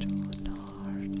John Hart.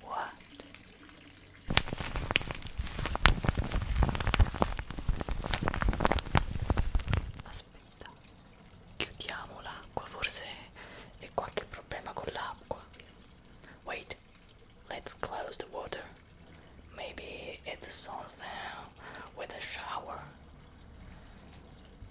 What? Aspetta, chiudiamo l'acqua, forse è qualche problema con l'acqua. Wait, let's close the water. Maybe it's something with a shower.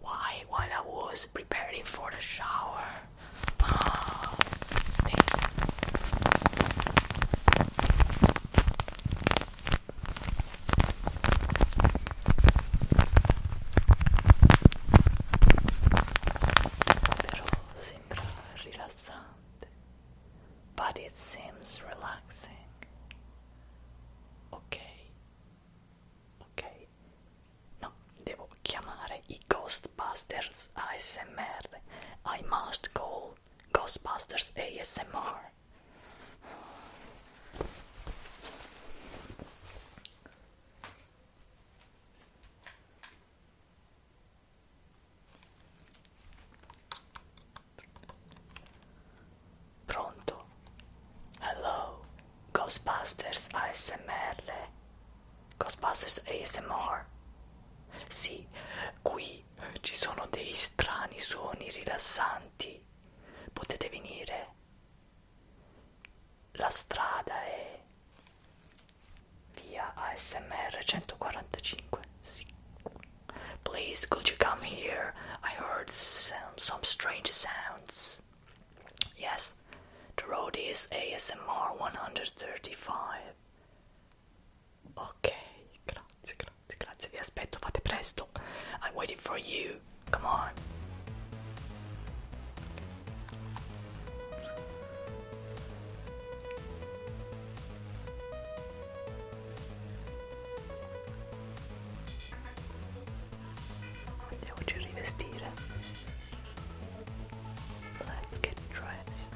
Why? While I was preparing for the shower. Ah, Però sembra rilassante but it seems relaxing. Okay. Okay. No, devo chiamare i Ghostbusters ASMR. I must call Ghostbusters ASMR. Pronto? Hello, Ghostbusters ASMR. Ghostbusters ASMR. Sì, qui ci sono dei strani suoni rilassanti. Potete venire. La strada è via ASMR 145. Sì. Please, could you come here? I heard some, strange sounds. Yes, the road is ASMR 135. Ok, grazie, grazie, grazie, vi aspetto, fate presto. I'm waiting for you. Come on. Devoci rivestire. Let's get dressed.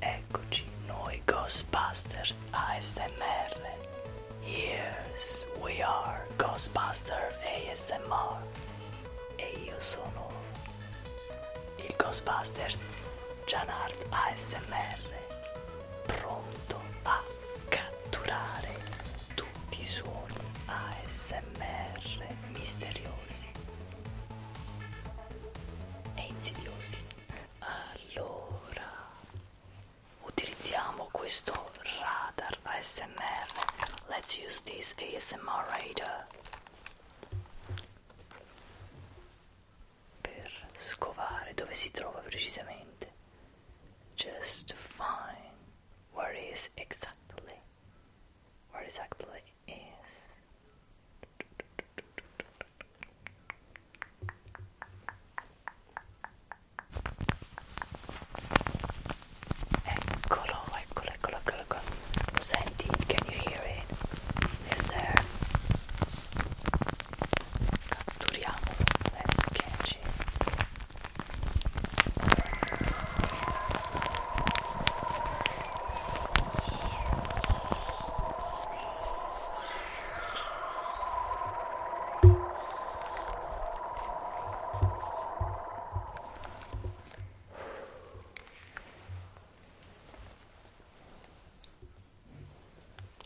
Eccoci noi Ghostbusters ASMR. Yes, we are Ghostbuster ASMR. E io sono il Ghostbusters Janart ASMR pronto a catturare tutti i suoni ASMR misteriosi e insidiosi allora utilizziamo questo radar ASMR let's use this ASMR radar per scovare dove si trova precisamente. Just find where is exactly. Where exactly is. Eccolo ecco, eccolo, eccolo, eccolo. Lo senti? Can you hear it? Is there? Catturiamolo, let's catch it.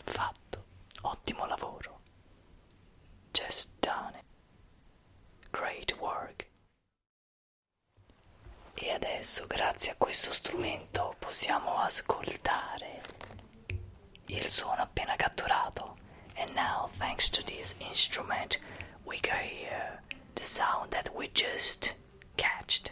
Fatto, ottimo lavoro. Just done it. Great work. E adesso, grazie a questo strumento, possiamo ascoltare il suono appena catturato. And now, thanks to this instrument, we can hear the sound that we just catched.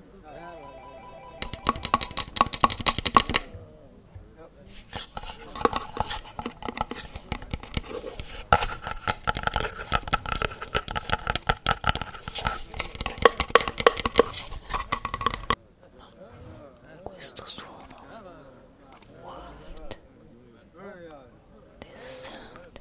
Questo suono what? This sound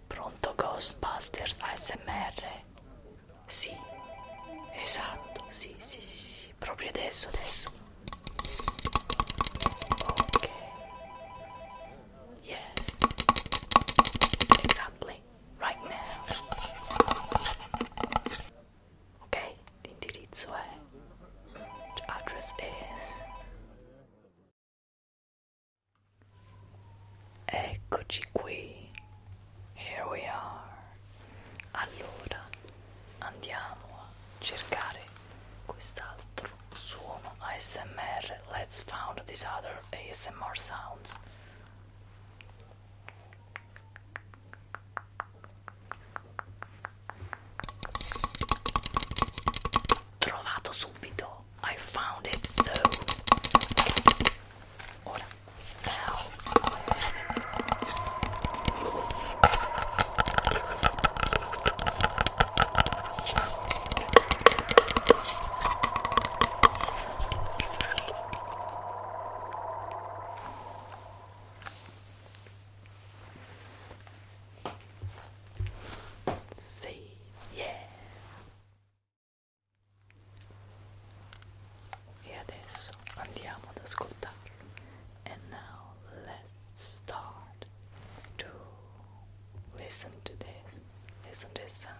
Pronto Ghostbusters ASMR? Sì, esatto, sì, sì, sì, sì, proprio adesso, adesso. Ok. Yes. Exactly. Right now. Ok, l'indirizzo è... Address is... Eccoci qui. Here we are. Allora andiamo a cercare quest'altro suono ASMR. Let's found this other ASMR sounds trovato subito I found it so ora Say yes. And now let's start to listen to this. Listen to this sound.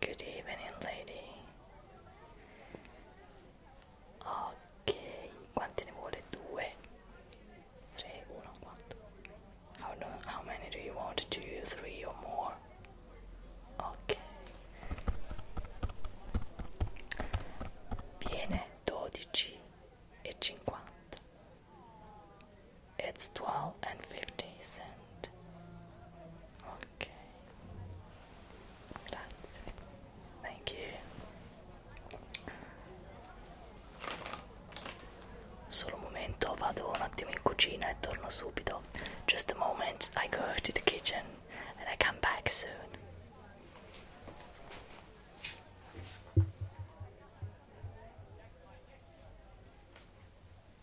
Good evening, lady. Ok, quanti ne vuole? Due? Tre, uno, How, no, how many do you want? Two, three or more? Ok. It's 12 and 50 cent. Ok. Grazie. Thank you. Solo un momento, vado un attimo in cucina e torno subito. Just a moment, I go to the kitchen and I come back soon.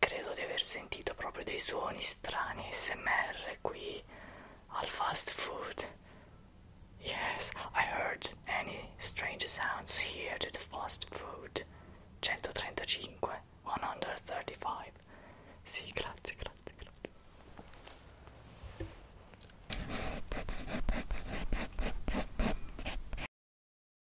credo di aver sentito proprio dei suoni strani smr qui al fast food yes I heard any strange sounds here at the fast food 135 135 sì grazie grazie grazie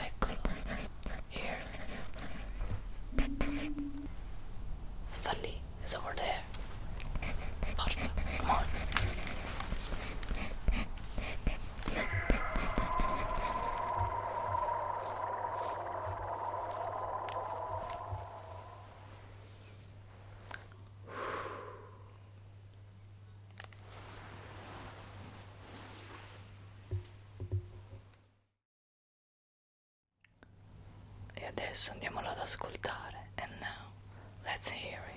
I could hear Stanley is over there. Martha, come on. E adesso andiamolo ad ascoltare. And now, let's hear it.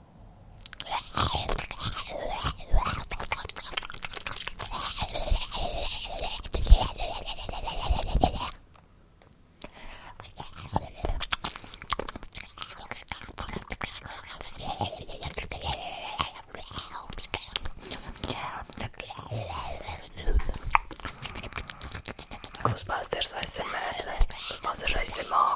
Ghostbusters ASMR Ghostbusters ASMR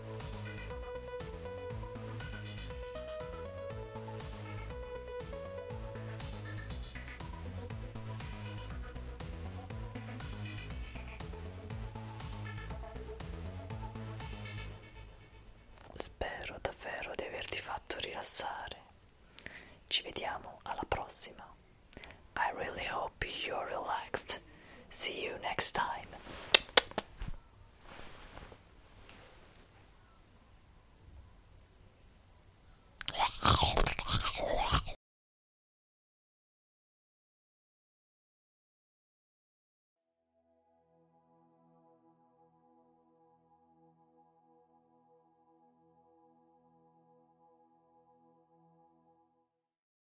Spero davvero di averti fatto rilassare. Ci vediamo alla prossima. I really hope hope you relaxed. See you next time.